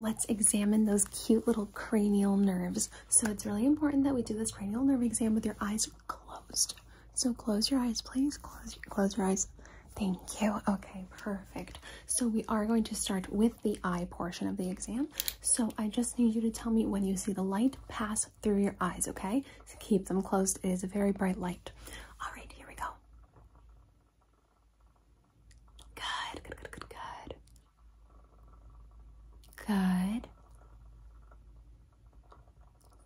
Let's examine those cute little cranial nerves. So it's really important that we do this cranial nerve exam with your eyes closed. So close your eyes, please. Close, your eyes. Thank you. Okay, perfect. So we are going to start with the eye portion of the exam. So I just need you to tell me when you see the light pass through your eyes, okay? So keep them closed. It is a very bright light. All right, here we go. Good, good, good, good, good. Good.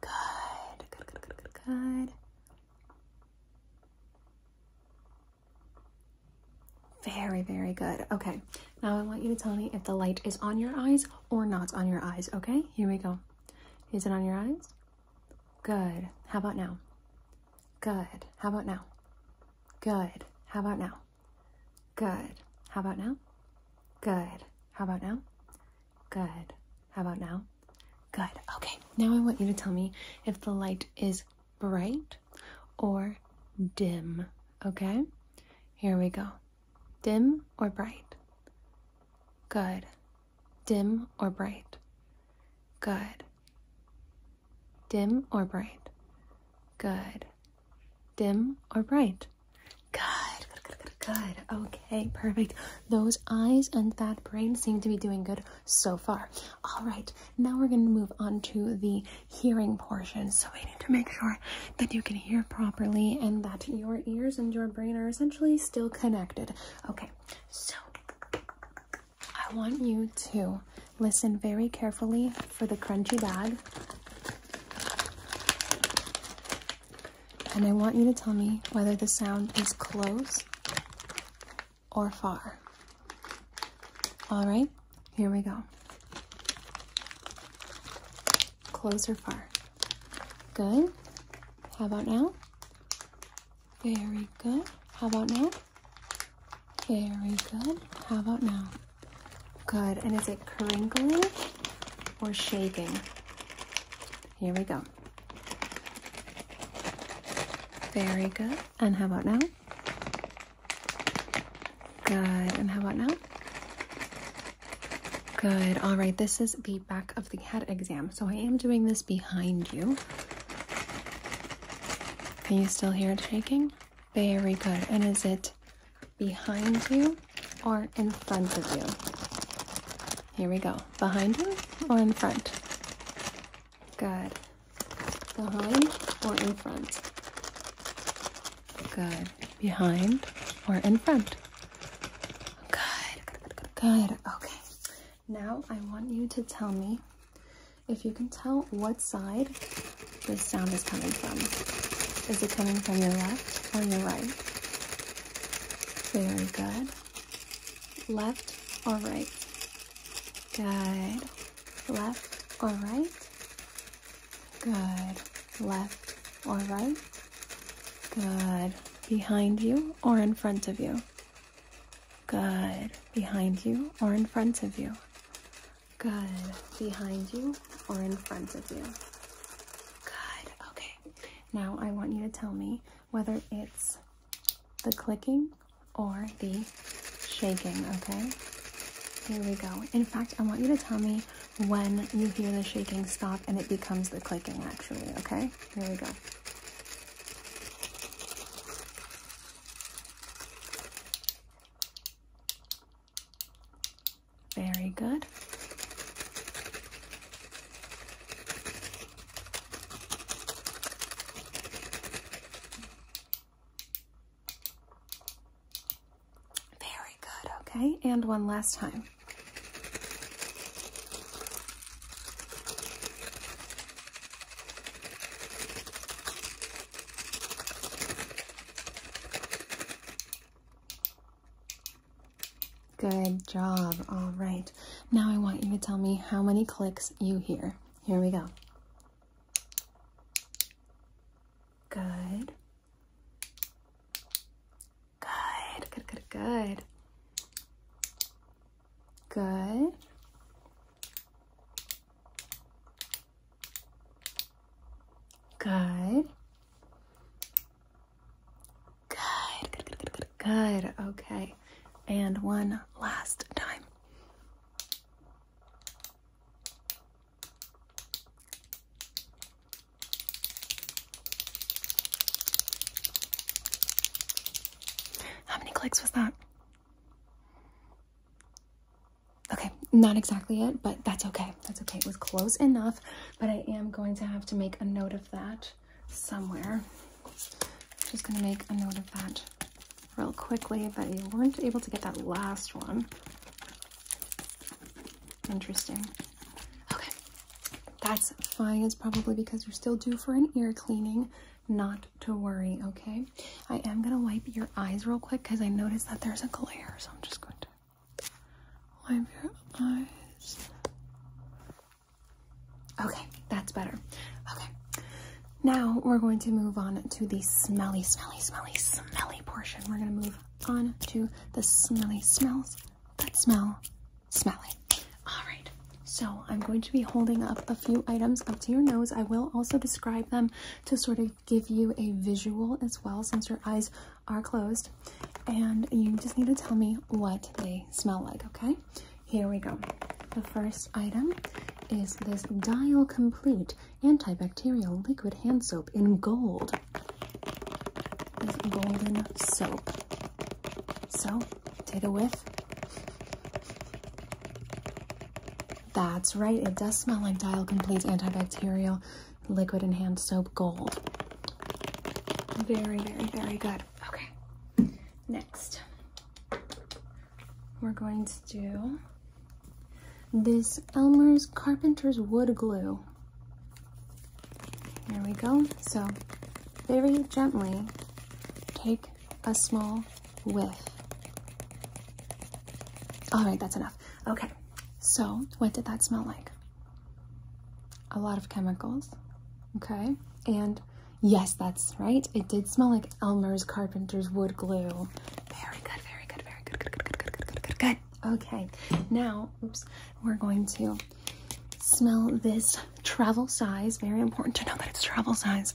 Good, good, good, good, good, Very, very good. Okay, now I want you to tell me if the light is on your eyes or not on your eyes, okay? Here we go. Is it on your eyes? Good. How about now? Good. How about now? Good. How about now? Good. How about now? Good. How about now? Good. How about now? Good. Okay. Now I want you to tell me if the light is bright or dim. Okay? Here we go. Dim or bright? Good. Dim or bright? Good. Dim or bright? Good. Dim or bright? Good, good, good, good, Okay, perfect. Those eyes and that brain seem to be doing good so far. All right, now we're going to move on to the hearing portion. So we need to make sure that you can hear properly and that your ears and your brain are essentially still connected. Okay, so I want you to listen very carefully for the crunchy bag. And I want you to tell me whether the sound is close or far. All right, here we go. Close or far. Good. How about now? Very good. How about now? Very good. How about now? Good. And is it crinkling or shaking? Here we go. Very good. And how about now? Good. And how about now? Good. All right. This is the back of the head exam. So I am doing this behind you. Can you still hear it shaking? Very good. And is it behind you or in front of you? Here we go. Behind you or in front? Good. Behind or in front? Good. Behind or in front? Good. Good. Good. Good. Okay. Now I want you to tell me if you can tell what side this sound is coming from. Is it coming from your left or your right? Very good. Left or right? Good. Left or right? Good. Left or right? Good. Behind you or in front of you? Good. Behind you or in front of you? Good. Behind you or in front of you? Good. Okay. Now I want you to tell me whether it's the clicking or the shaking, okay? Here we go. In fact, I want you to tell me when you hear the shaking stop and it becomes the clicking, actually, okay? Here we go. Very good. Very good, okay? And one last time. Good job. All right. Now I want you to tell me how many clicks you hear. Here we go. Good. Good, good, good, good. Good. Good, good, good, Okay. And one last time. How many clicks was that? Okay, not exactly it, but that's okay. That's okay. It was close enough, but I am going to have to make a note of that somewhere. Just going to make a note of that real quickly, but you weren't able to get that last one. Interesting. Okay, that's fine. It's probably because you're still due for an ear cleaning, not to worry, okay? I am gonna wipe your eyes real quick because I noticed that there's a glare, so I'm just going to wipe your eyes. Okay, that's better. Okay, now we're going to move on to the smelly, smelly, smelly, smelly portion. We're gonna move on to the smelly smells that smell smelly. All right, so I'm going to be holding up a few items up to your nose. I will also describe them to sort of give you a visual as well since your eyes are closed. And you just need to tell me what they smell like, okay? Here we go. The first item is this Dial Complete Antibacterial Liquid Hand Soap in gold. This golden soap. So, take a whiff. That's right, it does smell like Dial Complete Antibacterial Liquid and Hand Soap Gold. Very, very, very good. Okay, next we're going to do this Elmer's Carpenter's Wood Glue. There we go. So very gently take a small with. All right, that's enough. Okay, so what did that smell like? A lot of chemicals, okay? And yes, that's right. It did smell like Elmer's Carpenter's wood glue. Very good, very good, very good, good, good, good, good, good, good, good. Okay, now, oops, we're going to smell this travel size. Very important to know that it's travel size.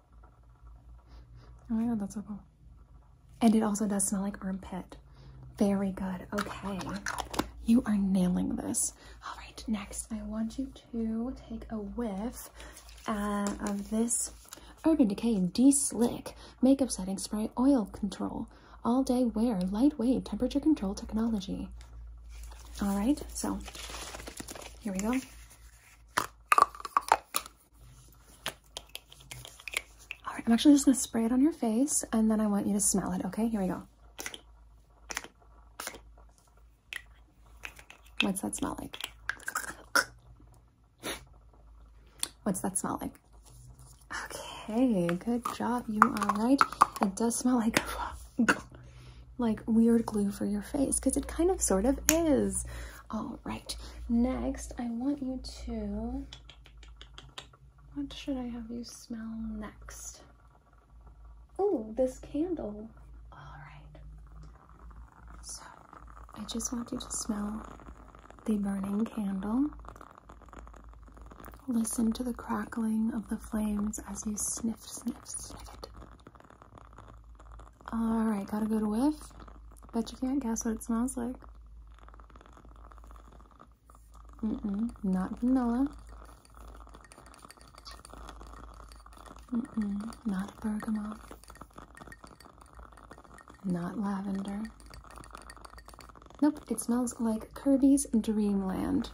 Oh my god, that's so cool. And it also does smell like armpit. Very good. Okay. You are nailing this. All right, next I want you to take a whiff uh, of this Urban Decay D-Slick Makeup Setting Spray Oil Control. All day wear, lightweight, temperature control technology. All right, so here we go. All right, I'm actually just gonna spray it on your face and then I want you to smell it, okay? Here we go. What's that smell like? What's that smell like? Okay, good job. You are right. It does smell like like weird glue for your face because it kind of sort of is. All right. Next, I want you to. What should I have you smell next? Oh, this candle. All right. So, I just want you to smell the burning candle. Listen to the crackling of the flames as you sniff, sniff, sniff it. Alright, got gotta go to whiff. Bet you can't guess what it smells like. Mm-mm, not vanilla. Mm-mm, not bergamot. Not lavender. Nope, it smells like Kirby's Dreamland.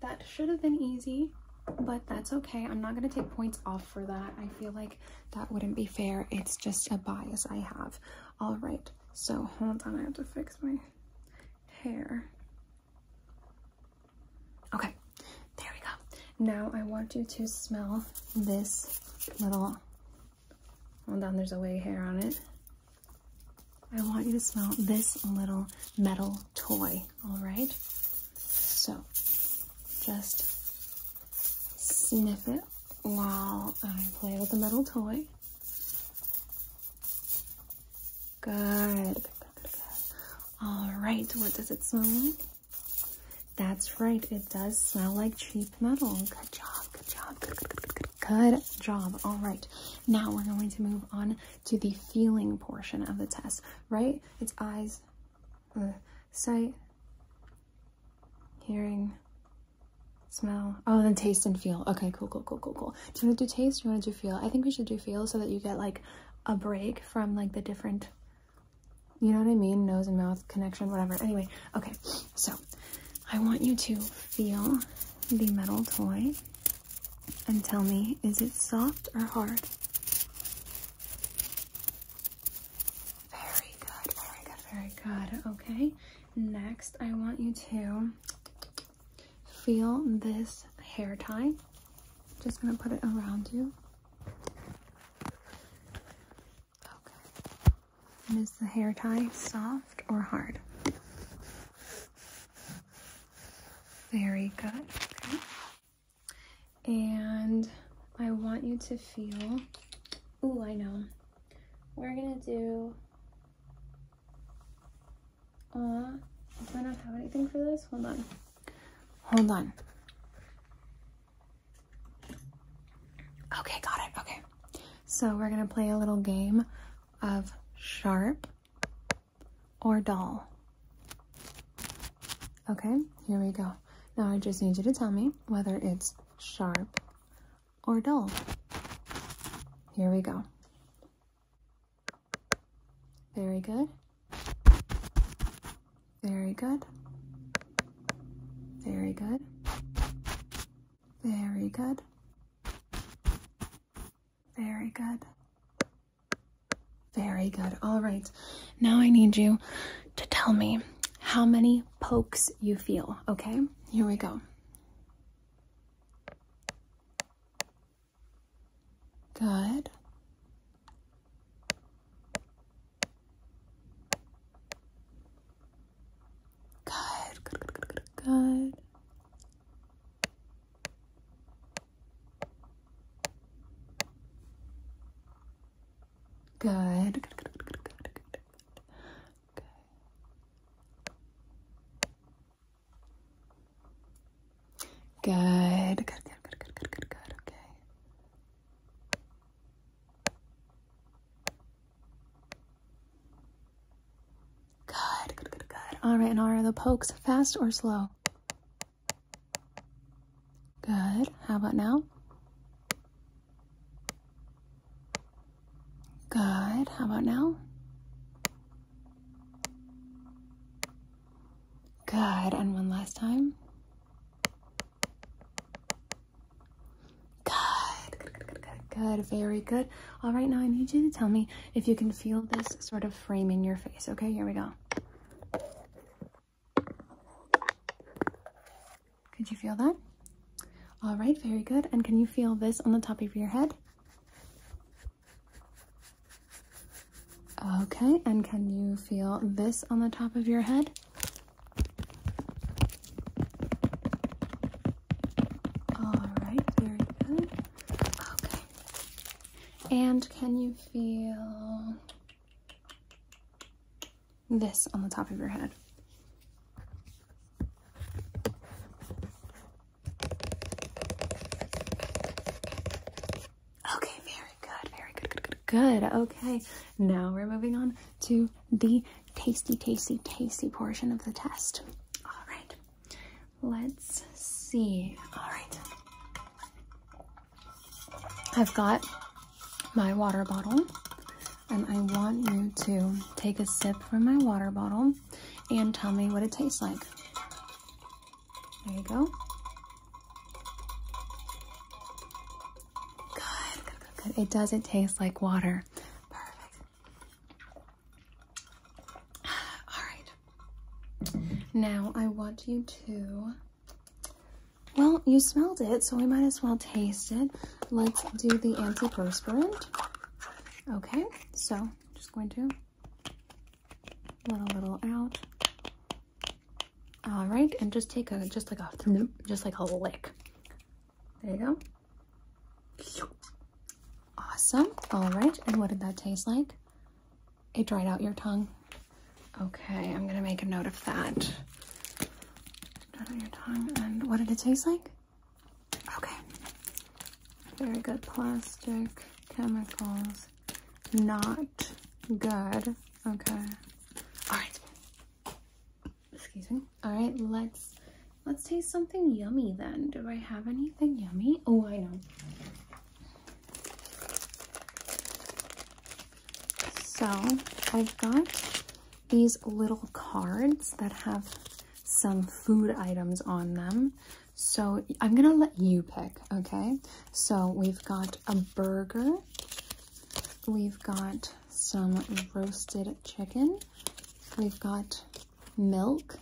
That should have been easy, but that's okay. I'm not going to take points off for that. I feel like that wouldn't be fair. It's just a bias I have. All right, so hold on, I have to fix my hair. Okay, there we go. Now I want you to smell this little, hold on, there's a way hair on it. I want you to smell this little metal toy all right? So just sniff it while I play with the metal toy. Good, All right, what does it smell like? That's right, it does smell like cheap metal. Good job, good job, good, job. All right, now we're going to move on to the feeling portion of the test, right? It's eyes, sight, hearing, smell. Oh, then taste and feel. Okay, cool, cool, cool, cool, cool. Do you want to do taste? Do you want to do feel? I think we should do feel so that you get like a break from like the different, you know what I mean? Nose and mouth connection, whatever. Anyway, okay. So I want you to feel the metal toy and tell me, is it soft or hard? Very good, very good, very good. Okay, next I want you to feel this hair tie. Just gonna put it around you. Okay. is the hair tie soft or hard? Very good. And I want you to feel, oh, I know. We're gonna do, aw, do I not have anything for this? Hold on, hold on. Okay, got it, okay. So we're gonna play a little game of sharp or dull. Okay, here we go. Now I just need you to tell me whether it's sharp or dull. Here we go. Very good. Very good. Very good. Very good. Very good. Very good. All right. Now I need you to tell me how many pokes you feel, okay? Here we go. Good. Good, good, good, Good. Good, good, good, good, good, good. Okay. Good. Good, good, good, good, good, good, good. Okay. Good, good, good, good. All right, Nara, the pokes fast or slow? Good. How about now? Good. How about now? Good. And one last time. Good. Good, good, good, Very good. All right. Now I need you to tell me if you can feel this sort of frame in your face. Okay. Here we go. Could you feel that? All right, very good. And can you feel this on the top of your head? Okay, and can you feel this on the top of your head? All right, very good. Okay. And can you feel this on the top of your head. Okay, very good, very good, good, good, good. Okay, now we're moving on to the tasty, tasty, tasty portion of the test. All right, let's see. All right. I've got my water bottle and I want you to take a sip from my water bottle and tell me what it tastes like. There you go. Good, good, good, good. It doesn't taste like water. Perfect. All right. Now I want you to well, you smelled it, so we might as well taste it. Let's do the antiperspirant. Okay, so just going to let a little out. All right, and just take a just like a just like a lick. There you go. Awesome. All right, and what did that taste like? It dried out your tongue. Okay, I'm gonna make a note of that. And what did it taste like? Okay. Very good. Plastic, chemicals, not good. Okay. All right. Excuse me. All right, let's let's taste something yummy then. Do I have anything yummy? Oh, I know. So I've got these little cards that have some food items on them. So I'm gonna let you pick, okay? So we've got a burger, we've got some roasted chicken, we've got milk,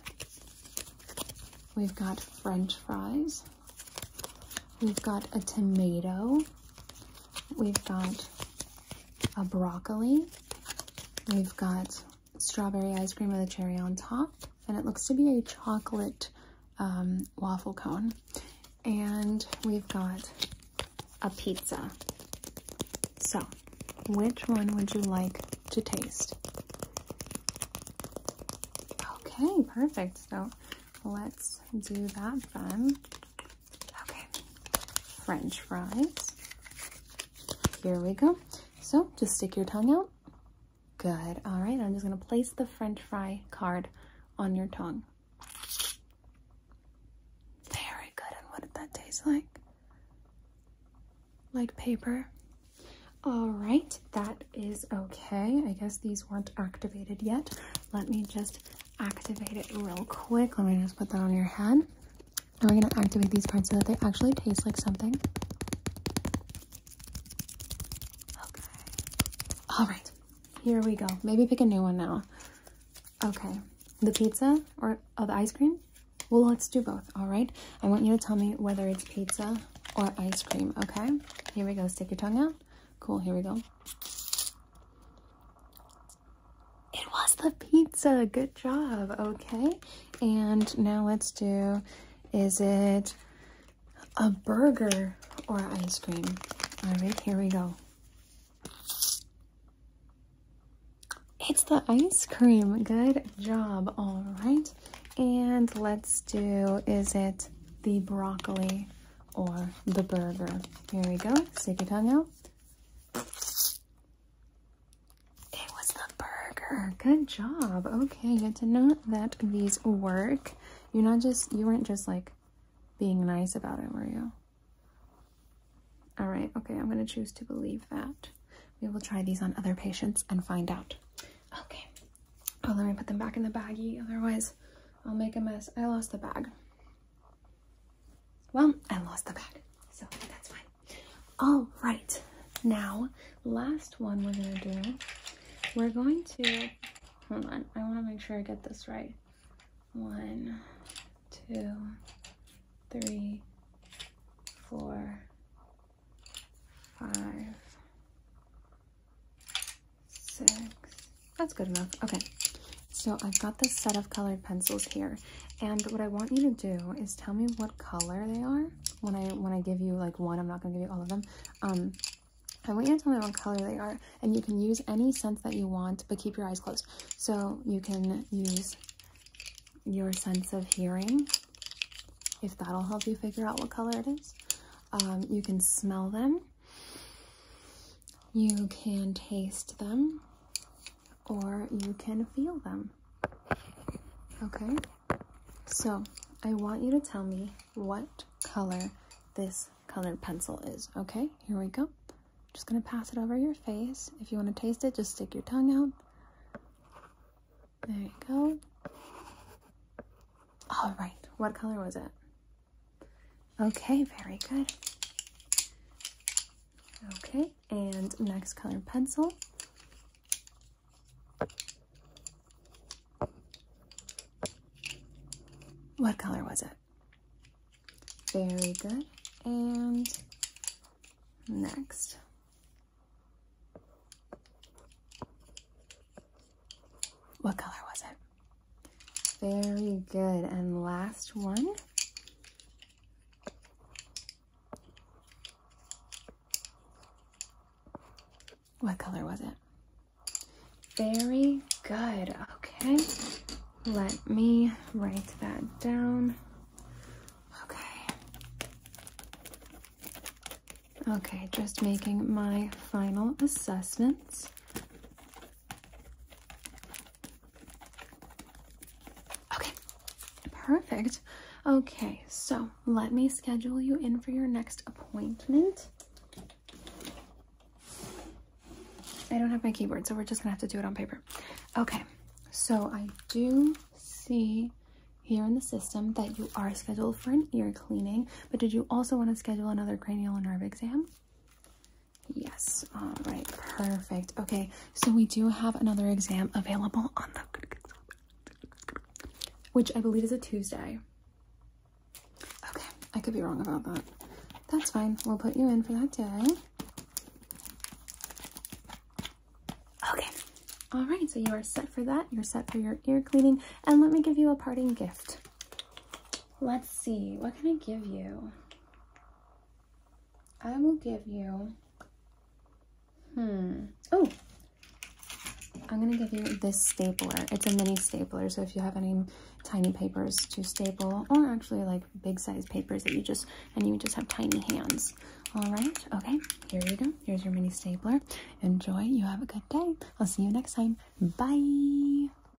we've got french fries, we've got a tomato, We've got a broccoli. We've got strawberry ice cream with a cherry on top. And it looks to be a chocolate um, waffle cone. And we've got a pizza. So, which one would you like to taste? Okay, perfect. So let's do that then. Okay, french fries. Here we go. So just stick your tongue out. Good. All right, I'm just going to place the french fry card on your tongue. Very good. And what did that taste like? Like paper. All right, that is okay. I guess these weren't activated yet. Let me just activate it real quick. Let me just put that on your head. Now we're going to activate these parts so that they actually taste like something. Okay. All right. Here we go. Maybe pick a new one now. Okay. The pizza or the ice cream? Well, let's do both, all right? I want you to tell me whether it's pizza or ice cream, okay? Here we go. Stick your tongue out. Cool. Here we go. It was the pizza. Good job. Okay. And now let's do, is it a burger or ice cream? All right, here we go. It's the ice cream. Good job. All right. And let's do, is it the broccoli? or the burger. Here we go. Stick your tongue out. It was the burger. Good job. Okay, good to know that these work. You're not just, you weren't just like being nice about it, were you? All right, okay, I'm gonna choose to believe that. We will try these on other patients and find out. Okay. Oh, let me put them back in the baggie. Otherwise, I'll make a mess. I lost the bag. Well, I lost the bag, so that's fine. All right, now last one we're gonna do. We're going to hold on. I want to make sure I get this right. One, two, three, four, five, six. That's good enough. Okay. So I've got this set of colored pencils here. And what I want you to do is tell me what color they are. When I when I give you like one, I'm not gonna give you all of them. Um, I want you to tell me what color they are, and you can use any sense that you want, but keep your eyes closed. So you can use your sense of hearing, if that'll help you figure out what color it is. Um, you can smell them, you can taste them or you can feel them. Okay? So, I want you to tell me what color this colored pencil is. Okay? Here we go. Just going to pass it over your face. If you want to taste it, just stick your tongue out. There you go. All right. What color was it? Okay, very good. Okay, and next color pencil. What color was it? Very good. And next. What color was it? Very good. And last one. What color was it? Very good. Okay. Let me write that down. Okay. Okay, just making my final assessments. Okay, perfect. Okay, so let me schedule you in for your next appointment. I don't have my keyboard, so we're just gonna have to do it on paper. Okay, so I do see here in the system that you are scheduled for an ear cleaning, but did you also want to schedule another cranial nerve exam? Yes. All right. Perfect. Okay. So we do have another exam available on the which I believe is a Tuesday. Okay. I could be wrong about that. That's fine. We'll put you in for that day. Okay. All right. So you are set for that. You're set for your ear cleaning. And let me give you a parting gift. Let's see, what can I give you? I will give you, hmm, oh, I'm going to give you this stapler. It's a mini stapler, so if you have any tiny papers to staple, or actually like big size papers that you just, and you just have tiny hands. All right, okay, here you go. Here's your mini stapler. Enjoy, you have a good day. I'll see you next time. Bye.